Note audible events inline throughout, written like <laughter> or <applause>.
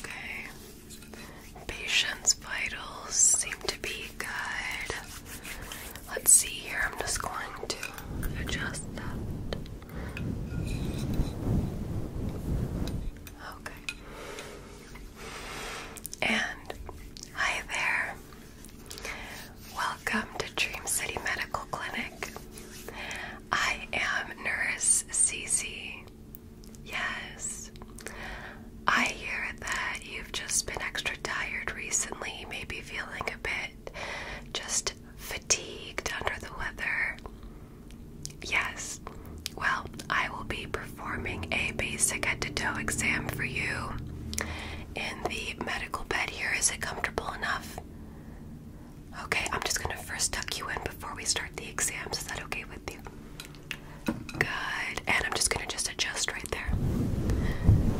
Okay. Patient's vitals seem to be good. Let's see here. I'm just going to adjust that. Okay. And hi there. Welcome to Dream City Medical Clinic. I am Nurse Cece. Yes. I hear that you've just been extra tired recently, maybe feeling a bit just fatigued under the weather. Yes. Well, I will be performing a basic head to toe exam for you in the medical bed here. Is it comfortable enough? Okay, I'm just gonna first tuck you in before we start the exams. Is that okay with you? Good. And I'm just gonna just adjust right there.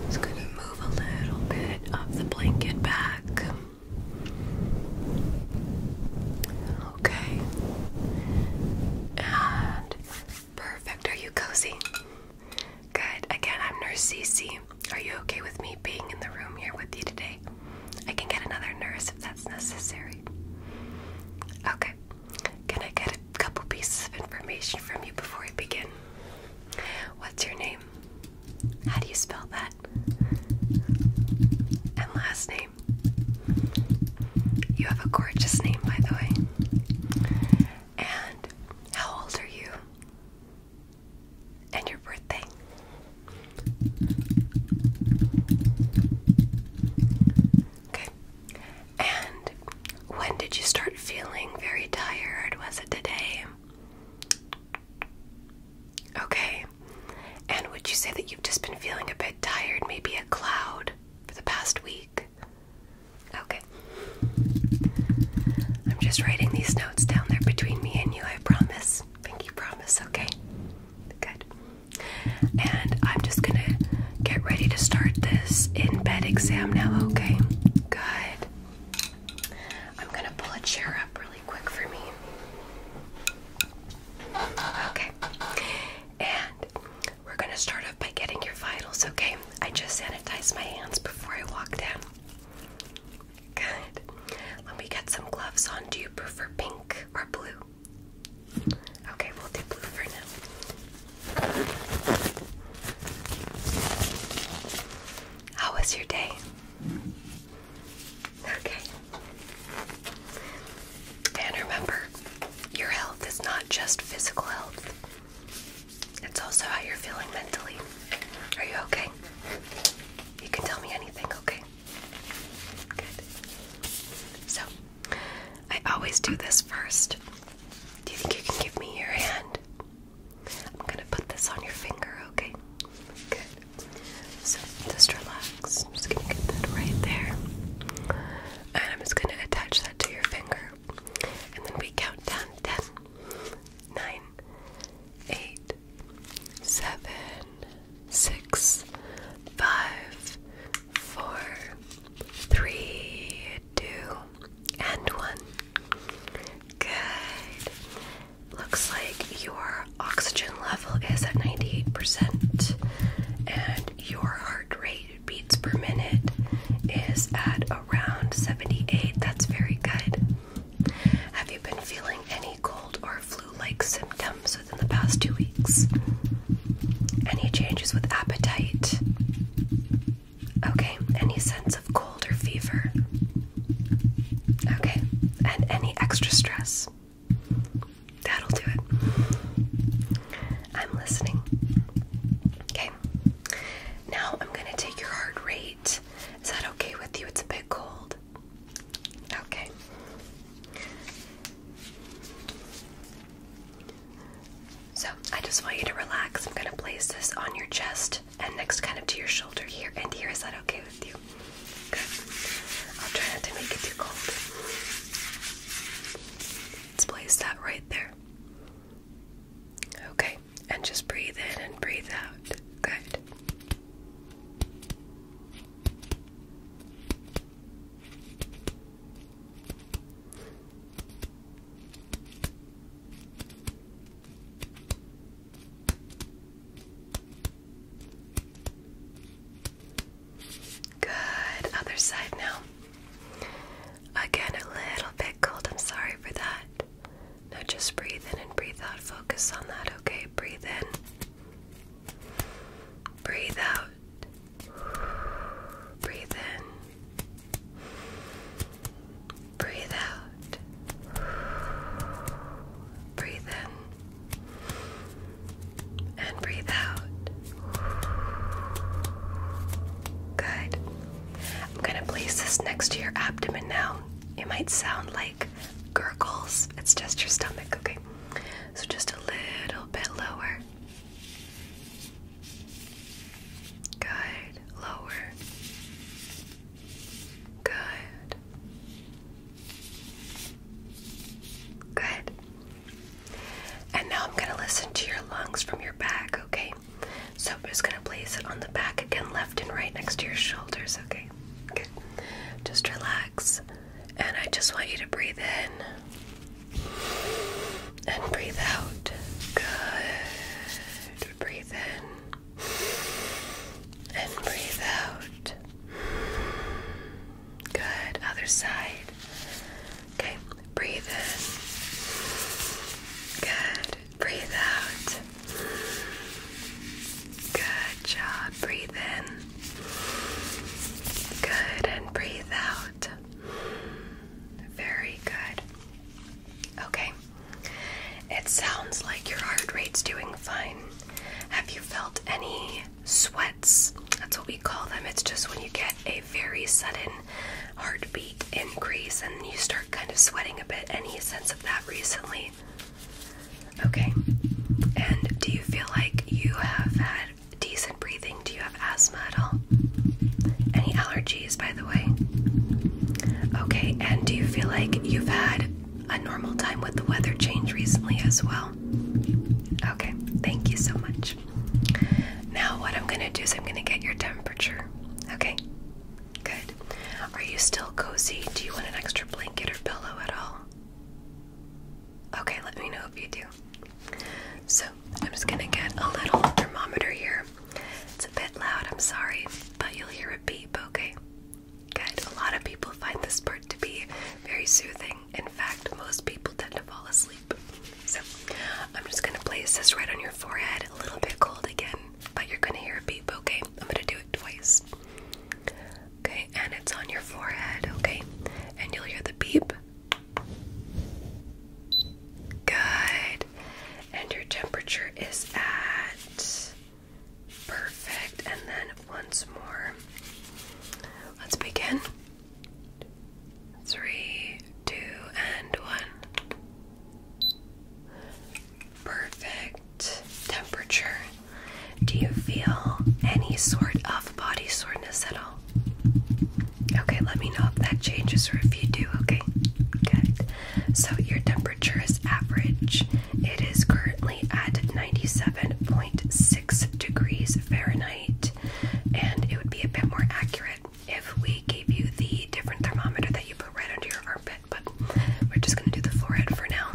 Just gonna move a little bit of the blanket back. Okay. And perfect. Are you cozy? Good. Again, I'm Nurse Cece. Are you okay with me being in the room here with you today? I can get another nurse if that's necessary. Okay. Can I get a couple pieces of information from you before we begin? What's your name? How do you spell that? And last name. You have a gorgeous name, by the way. And how old are you? and your birthday. Okay. And when did you start feeling very tired? Was it today? Okay. And would you say that you've just been feeling a bit tired, maybe a cloud for the past week? Okay. I'm just writing these notes down there between me and you, I promise. Thank you. promise, okay? Good. And I'm just gonna get ready to start this in bed exam now, okay? Good. I'm gonna pull a chair up really quick for me. Okay. And we're gonna start off by getting your vitals, okay? I just sanitized my hands before I walk in. Good. Let me get some gloves on. Do you prefer pink or blue? Okay, we'll do blue for now. How was your day? Okay. And remember, your health is not just physical health. It's also how you're feeling mentally. Are you okay? You can tell me anything, okay? Good. So, I always do this first. Do you think you can give me your hand? I'm gonna put this on your finger, okay? Good. So, just relax. I'm just gonna get that right there. And I'm just gonna attach that to your finger. And then we count down 10 nine, eight, seven, six, five, four, three, two, and one. Good. Looks like your oxygen level is at 98%, and your heart rate beats per minute is at around 78. That's very good. Have you been feeling any cold or flu like symptoms within the past two weeks? Any changes with appetite? Okay, any sense of cold or fever? Okay, and any extra stress? That'll do it. I'm listening. Okay, now I'm going to take your heart rate is that okay with you? It's a bit cold. Okay. So, I just want you to relax. I'm going to place this on your chest and next kind of to your shoulder here and here. Is that okay with you? Good. I'll try not to make it too cold. Let's place that right there. Okay and just breathe in and breathe out. Good. Good. Other side now. Again, a little bit cold. I'm sorry for that. Now just breathe in and breathe out. Focus on that, okay? Breathe in. Breathe out. Breathe in. Breathe out. Breathe in. And breathe out. Good. I'm gonna place this next to your abdomen now. It might sound like gurgles, it's just your stomach, okay? So just a little bit lower. Good, lower. Good. Good. And now I'm going to listen to your lungs from your back, okay? so I'm just gonna place it on the back again, left and right next to your shoulders. Okay, good. Just relax, and I just want you to breathe in and breathe out. Good. Breathe in and breathe out. Good. Other side. Okay, breathe in. Good. Breathe out. Good job. Breathe in. Good, and breathe out. Very good. Okay. It sounds like your heart rate's doing fine. Have you felt any sweats? That's what we call them. It's just when you get a very sudden heartbeat increase and you start kind of sweating a bit. Any sense of that recently? Okay. And do you feel like you have had decent breathing? Do you have asthma at all? Any allergies, by the way? Okay. And do you feel like you've had a normal time with the weather change recently as well? Okay. Thank you so much. Now, what I'm going to do is I'm going to get your temperature. Okay, good. Are you still cozy? Do you want an extra blanket or pillow at all? Okay, let me know if you do. So, I'm just gonna get a little thermometer here. It's a bit loud, I'm sorry, but you'll hear it beep, okay? Good. A lot of people find this part to be very soothing. In fact, most people tend to fall asleep. So I'm just gonna place this right on your forehead, a little bit cold again, but you're gonna hear a beep, okay? I'm gonna do it twice. Okay, and it's on your forehead, okay? And you'll hear the beep. Good. And your temperature is at perfect. And then once more. Let's begin. Three, two, and one. Perfect temperature. Do you feel any sort of body soreness at all? Okay, let me know if that changes or if you do, okay? Good. So your temperature is average. It is currently at 97.6 degrees Fahrenheit, and it would be a bit more accurate if we gave you the different thermometer that you put right under your armpit, but we're just gonna do the forehead for now.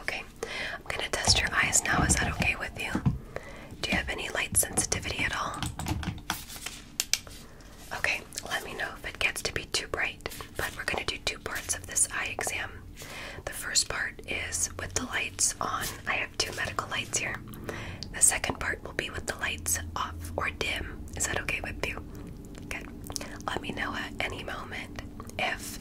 Okay, I'm gonna test your eyes now. Is that okay with you? Do you have any light sensitivity at all? Okay, let me know if it gets to be too bright, but we're gonna do two parts of this eye exam. The first part is with the lights on have two medical lights here. The second part will be with the lights off or dim. Is that okay with you? Good. Let me know at any moment if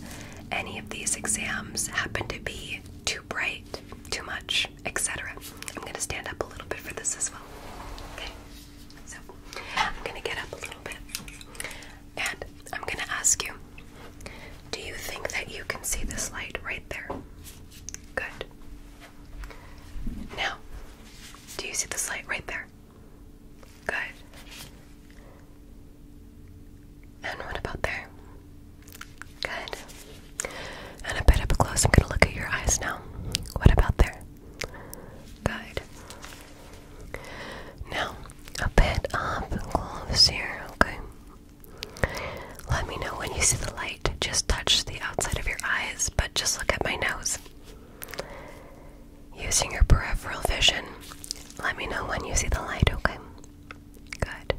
any of these exams happen to be too bright, too much, etc. I'm going to stand up a little bit for this as well. Okay. So I'm going to get up a little bit and I'm going to ask you do you think that you can see this light right there? Good. Now, do you see this light right there? Good. And what about there? Good. And a bit up close, I'm going to look at your eyes now. What about there? Good. Now, a bit up close here, okay? Let me know when you see the light. Just touch the outside of your eyes, but just look at my nose. Using your peripheral vision, let me know when you see the light, okay? Good.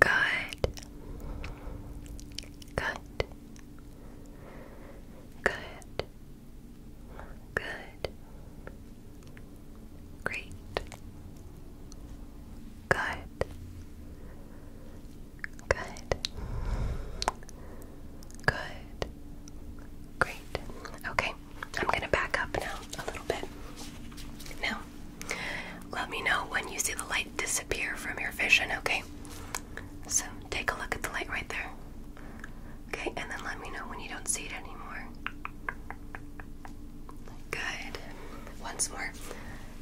Good. Good. Good. Good. Great. Good. Good. Good. Great. Okay, I'm going to back up now a little bit. Now, let me know when you see the light disappear from your vision, okay? So, take a look at the light right there. Okay, and then let me know when you don't see it anymore. Good. Once more,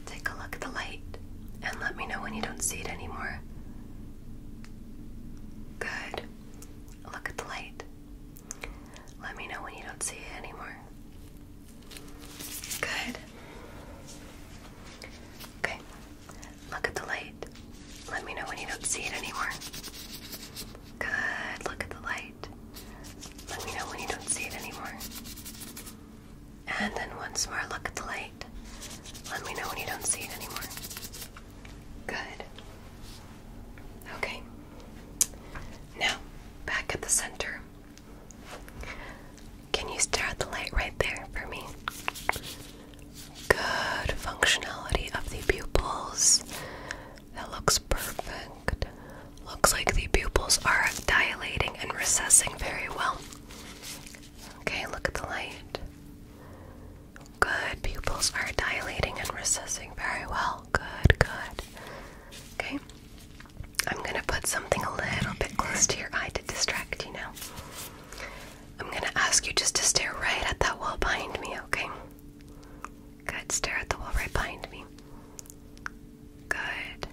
take a look at the light and let me know when you don't see it anymore. Good. Look at the light. Let me know when you don't see it anymore. Good. Okay. Look at the light. Let me know when you don't see it anymore. Good. Look at the light. Let me know when you don't see it anymore. And then once more, look at the light. Let me know when you don't see it anymore. Good. Okay. Now, back at the center. Can you stare at the light right there for me? Good functionality of the pupils. That looks perfect. Looks like the pupils are dilating and recessing very well. Okay, look at the light. Good, pupils are dilating and recessing very well. Good, good. Okay, I'm gonna put something a little bit close to your eye to distract you now. I'm gonna ask you just to stare right at that wall behind me, okay? Good. Stare at the wall right behind me. Good.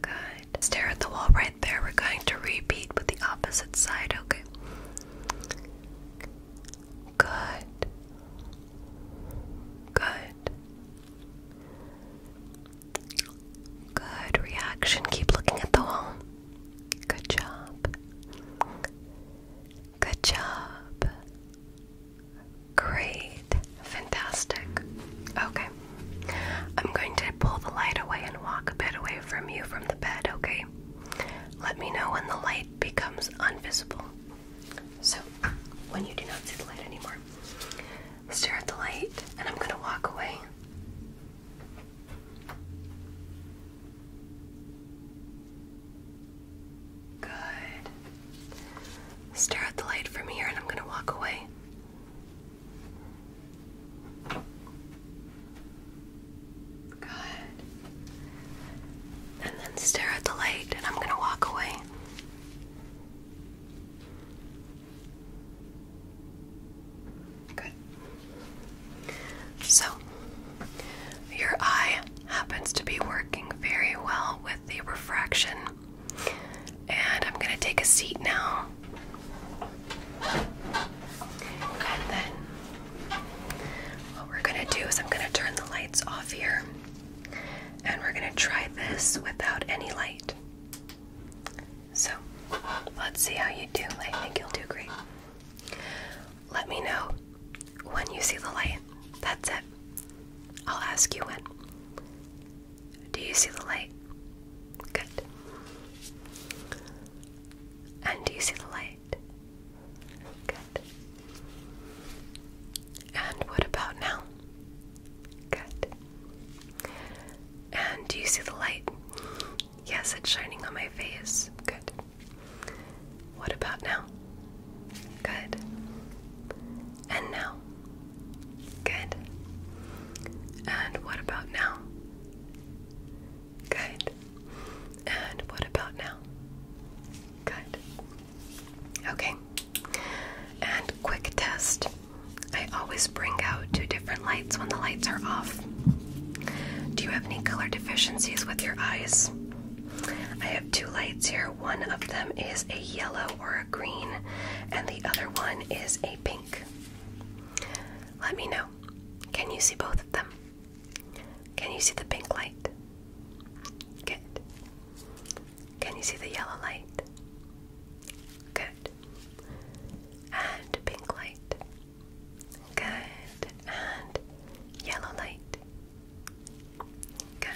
Good. Stare at the wall right there. We're going to repeat with the opposite side, okay? Good. Good. Good reaction. Keep looking at the wall. Good job. Good job. Great. Fantastic. Okay. I'm going to pull the light away and walk a bit away from you from the bed, okay? Let me know when the light becomes unvisible. So, when you do not see the light anymore, stare at the light and I'm going to walk away. Good. Stare at the light from here and I'm going to walk away. Good. And then stare at the light and I'm going to walk away. Good. So, your eye happens to be working very well with the refraction. And I'm going to take a seat now. And then what we're going to do is I'm going to turn the lights off here. And we're going to try this without any light. So, let's see how you do. I think you'll do great. Let me know when you see the light. That's it. I'll ask you when. Do you see the light? Good. And do you see the light? Good. And what about now? Good. And do you see the light? Yes, it's shining on my face. Good. What about now? Good. And now? Good. And what about now? Good. And what about now? Good. Okay. And quick test. I always bring out two different lights when the lights are off. Do you have any color deficiencies with your eyes? I have two lights here. One of them is a yellow or a green, and the other one is a pink. Let me know. Can you see both of them? Can you see the pink light? Good. Can you see the yellow light? Good. And pink light. Good. And yellow light. Good.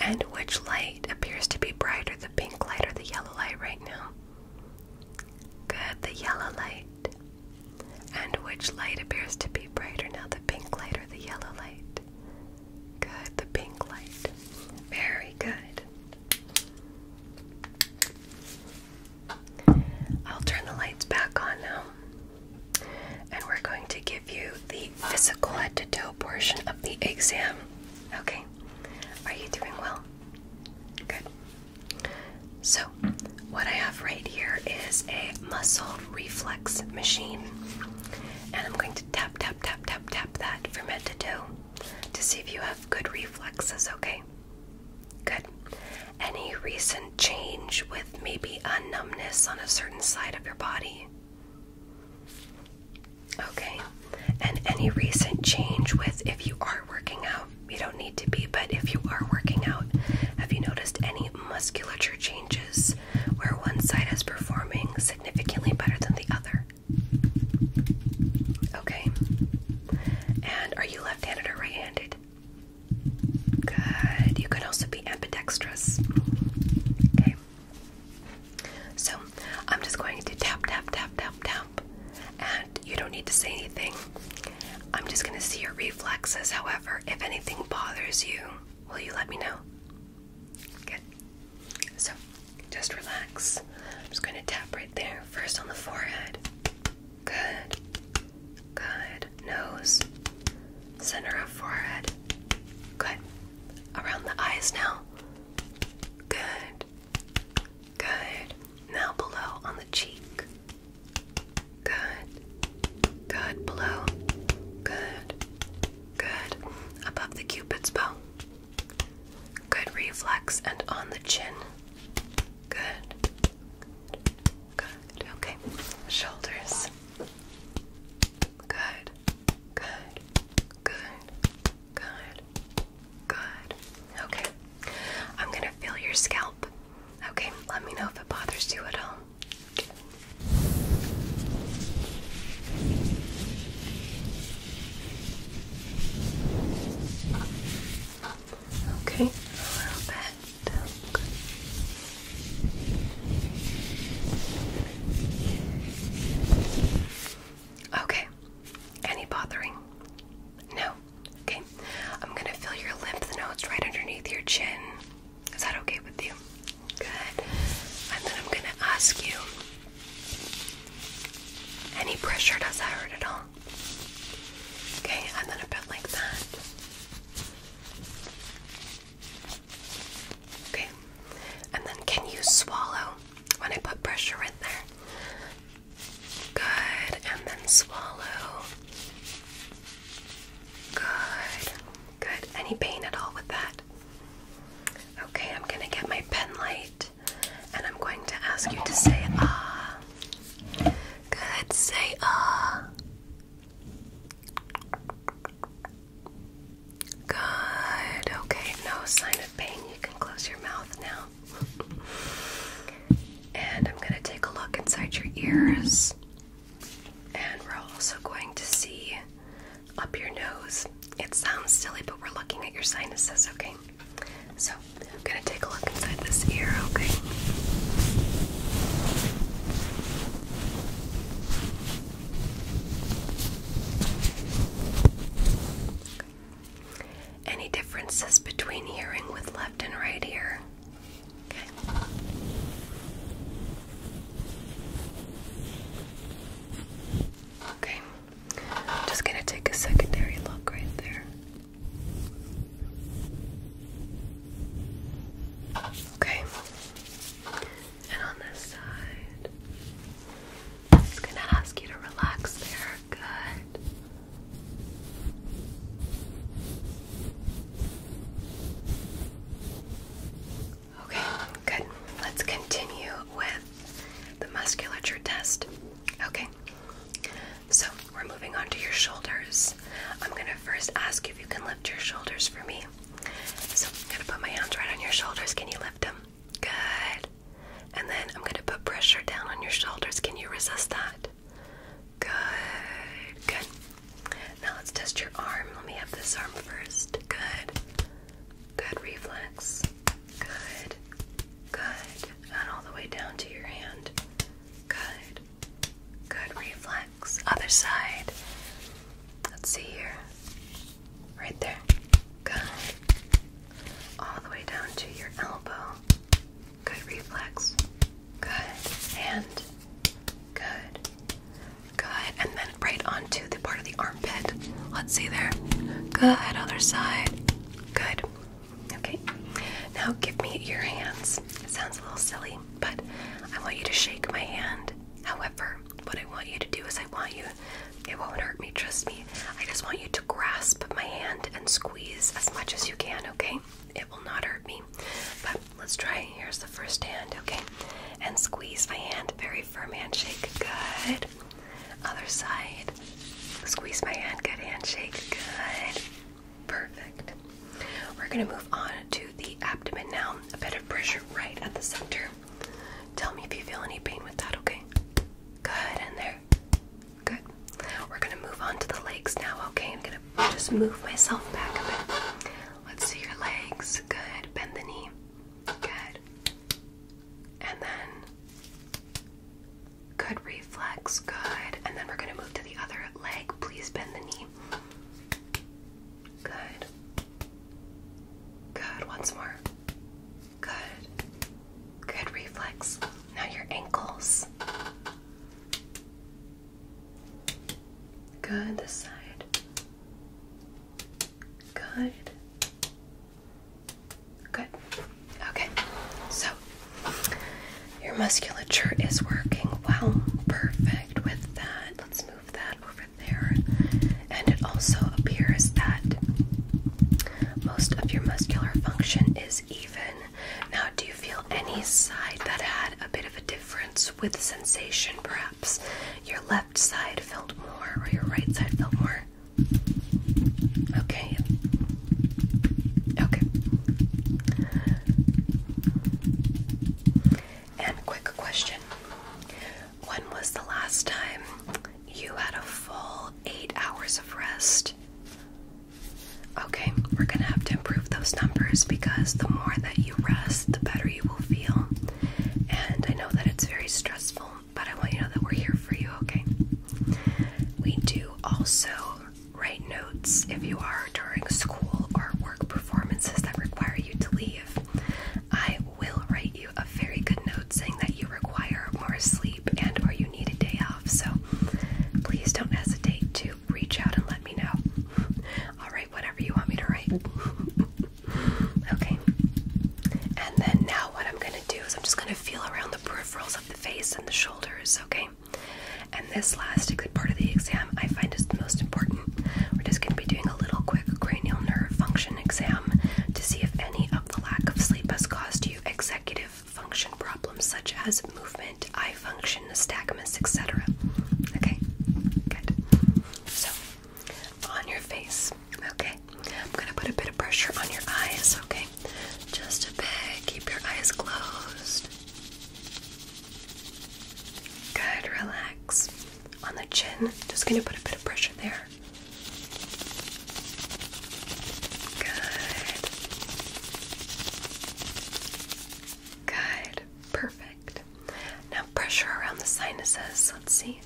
And which light appears to be brighter, the pink light or the yellow light right now? Good, the yellow light. And which light appears to be brighter now, the pink light or the yellow light? Good, the pink light. Very good. I'll turn the lights back on now and we're going to give you the physical head to toe portion of the exam. Okay, are you doing well? Good. So, what I have right here is a muscle reflex machine, and I'm going to tap, tap, tap, tap, tap that from head to toe to see if you have good reflexes, okay? Good. Any reason? change with maybe a numbness on a certain side of your body. Okay, and any recent change with if you are working out, you don't need to be, but if you are working out, have you noticed any musculature changes where one side is performing significantly better than the other? Okay, and are you left handed or right handed? Good. You could also be ambidextrous. Okay. So I'm just going to tap, tap, tap, tap, tap. And you don't need to say anything. I'm just going to see your reflexes. However, if anything bothers you, will you let me know? Good. So just relax. I'm just going to tap right there. First on the forehead. Good. Good. Nose. Center of forehead. Good. Around the eyes now. Good. Good. Now below on the cheek. Good. Good. Below. Good. Good. Above the cupid's bow. Good reflex and on the chin. Good. Good. Okay. Shoulders. Good. Good. Good. Good. Good. Okay. I'm going to feel your scalp. Okay. Let me know if it bothers you at all. Okay. a little bit. Okay. Any bothering? No. Okay. I'm gonna feel your lymph nodes right underneath your chin. Is that okay with you? Good. And then I'm gonna ask you any pressure, does that hurt at all? Okay, and then a bit like that. Okay, and then can you swallow when I put pressure right there? Good, and then swallow. Good, good. Any pain at all with that? Okay, I'm gonna get my pen light and I'm going to ask you to say ah. Good, say ah. Good. Okay, no sign of pain. You can close your mouth now. and I'm going to take a look inside your ears. And we're also going to see up your nose. It sounds silly, but we're looking at your sinuses, okay? So, I'm going to take look inside this ear, okay. Any differences between hearing with left and right ear? Okay. Okay. Just gonna take a secondary look right there. Okay. And on this side, I'm just going to ask you to relax there. Good. Okay, good. Let's continue with the musculature test. Okay. So we're moving on to your shoulders. I'm gonna first ask if you can lift your shoulders for me. So I'm gonna put my hands right on your shoulders. Can you lift them? Good. And then I'm gonna put pressure down on your shoulders. Can you resist that? Good. Good. Now let's test your arm. Let me have this arm first. Good. Good reflex. Good. Good. And all the way down to your hand. Good. Good reflex. Other side. Let's see here. Right there. Good. All the way down to your elbow. Good reflex. Good. And good. Good. And then right onto the part of the armpit. Let's see there. Good. Other side. Good. Okay, now give me your hands. It sounds a little silly, but I want you to shake my hand. However, what I want you to do is I want you, it won't hurt me, trust me. I just want you to grasp my hand and squeeze as much as you can, okay? It will not hurt me. But let's try. Here's the first hand, okay? And squeeze my hand. Very firm handshake. Good. Other side. Squeeze my hand. Good handshake. Good. Perfect. We're going to move on to the abdomen now. A bit of pressure right at the center. Tell me if you feel any pain with that, okay? Good, in there. Good. We're going to move on to the legs now, okay? I'm going to just move myself back a bit. Let's see your legs. Good. Bend the knee. Good. And then Good reflex, good. And then we're gonna move to the other leg. Please bend the knee. Good. Good. Once more. Good. Good reflex. Now your ankles. Good. This side. Good. Good. Okay, so your musculature is working well. Perfect with that. Let's move that over there. And it also appears that most of your muscular function is even. Now, do you feel any side that had a bit of a difference with sensation, perhaps? Your left side felt more, or your right side felt more? Okay, Okay. And quick question. When was the last time you had a full eight hours of rest? Okay, we're gonna have to improve those numbers because the more that you rest, the better you will feel. And I know that it's very stressful, but I want you to know that we're here for you, okay? We do also Write notes if you are during school or work performances that require you to leave. I will write you a very good note saying that you require more sleep and or you need a day off. So please don't hesitate to reach out and let me know. I'll write whatever you want me to write. <laughs> okay. And then now what I'm going to do is I'm just going to feel around the peripherals of the face and the shoulders, okay? And this last part of the exam I find is the most important. We're just going to be doing a little quick cranial nerve function exam to see if any of the lack of sleep has caused you executive function problems such as movement, eye function, astigmatism, etc. Okay? Good. So, on your face, okay? I'm going to put a bit of pressure on your eyes, okay? Just a bit. Keep your eyes closed. Good, relax. On the chin, just gonna put a bit of pressure there. Good. Good. Perfect. Now pressure around the sinuses. Let's see.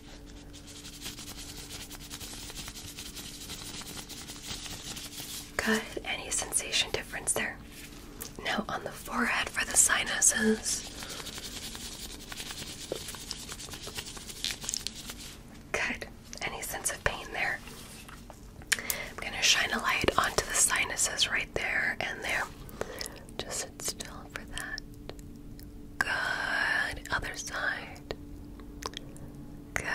Good. Any sensation difference there? Now on the forehead for the sinuses. Good. Any sense of pain there? I'm going to shine a light onto the sinuses right there and there. Just sit still for that. Good. Other side. Good.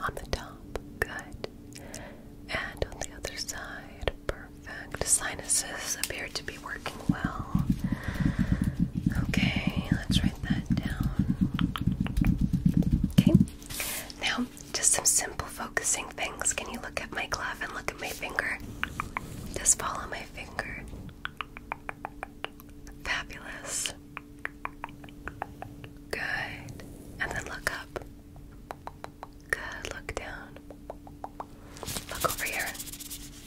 On the top. Good. And on the other side. Perfect. Sinuses appear to be working well. Okay, let's write that down. Okay. Now, just some simple focusing things. Can you look at my glove and look at my finger? Just follow my finger. Fabulous. Good. And then look up. Good. Look down. Look over here.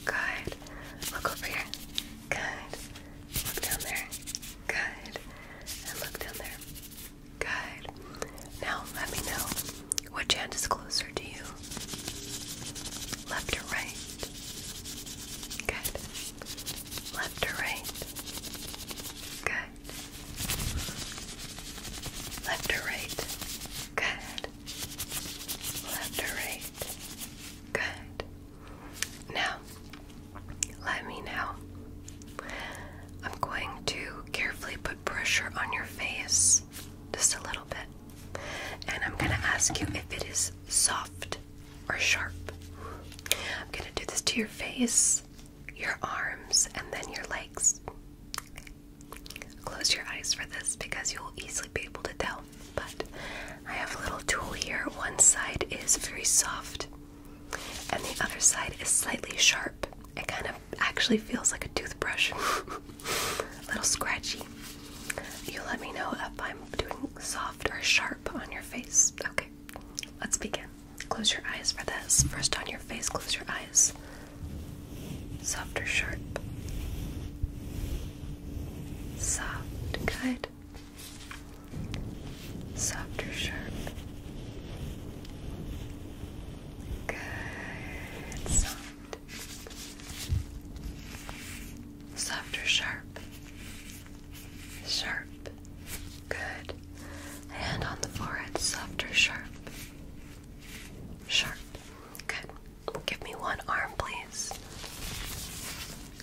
Good. Look over here. Good. Look down there. Good. And look down there. Good. Now let me know which hand is closer to you. Left or right? Good. Left to right? Good. Left to right? Good. Left to right? Good. Now, let me know. I'm going to carefully put pressure on your face, just a little bit. And I'm going to ask you if it is soft or sharp. I'm gonna do this to your face, your arms, and then your legs. Close your eyes for this because you'll easily be able to tell. But I have a little tool here. One side is very soft, and the other side is slightly sharp. It kind of actually feels like a toothbrush, <laughs> a little scratchy. You let me know if I'm doing soft or sharp on your face, okay? let's begin. Close your eyes for this. First on your face, close your eyes. Soft or sharp? Soft, good. Soft or sharp? Good, soft. Soft or sharp? Sharp. Good. Hand on the forehead, soft or sharp? Sharp. Good. Give me one arm, please.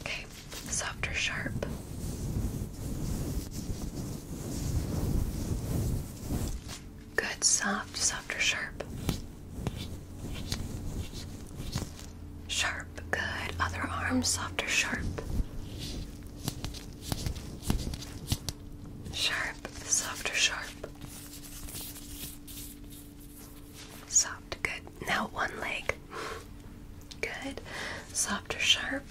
Okay. Soft or sharp? Good. Soft, soft or sharp? Sharp, good. Other arm, softer, sharp. Sharp, softer, sharp. Soft, good. Now one leg. Good. Softer, sharp.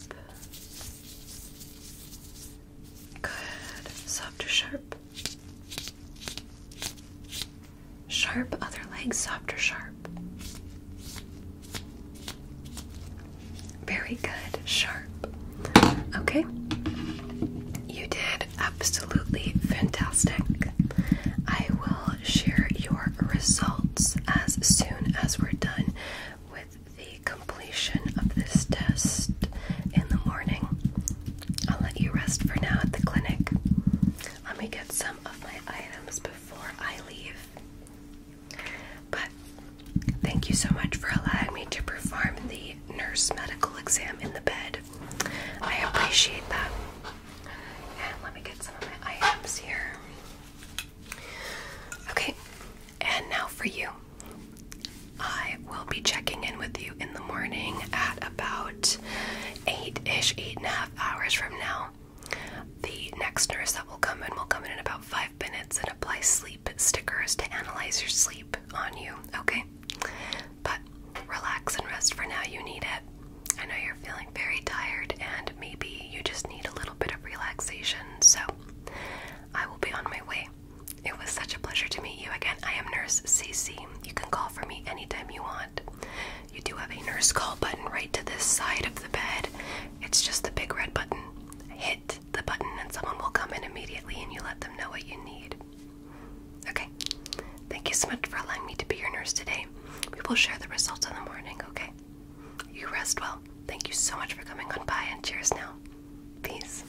Good. Softer, sharp. Sharp other leg, softer, sharp. Very good, sharp. Okay, you did absolutely fantastic. I will share your results as soon as we're done with the completion of this test in the morning. I'll let you rest for now at the clinic. Let me get some of my items before before I leave. But thank you so much for allowing me to perform the nurse medical exam in the bed. I appreciate that. And let me get some of my items here. Okay, and now for you. I will be checking in with you in the morning at about eight ish, eight and a half hours from now. The next nurse that will come in will come in in about five minutes and apply sleep stickers to analyze your sleep on you, okay? But relax and rest for now. You need it. I know you're feeling very tired and maybe you just need a little bit of relaxation, so I will be on my way. It was such a pleasure to meet you again. I am Nurse CC. You can call for me anytime you want. You do have a nurse call button right to this side of the bed. It's just the big red button. Hit the button and someone will come in immediately and you let them know what you need. Okay. Thank you so much for allowing me to be your nurse today. We will share the results in the morning, okay? You rest well. Thank you so much for coming on by and cheers now. Peace.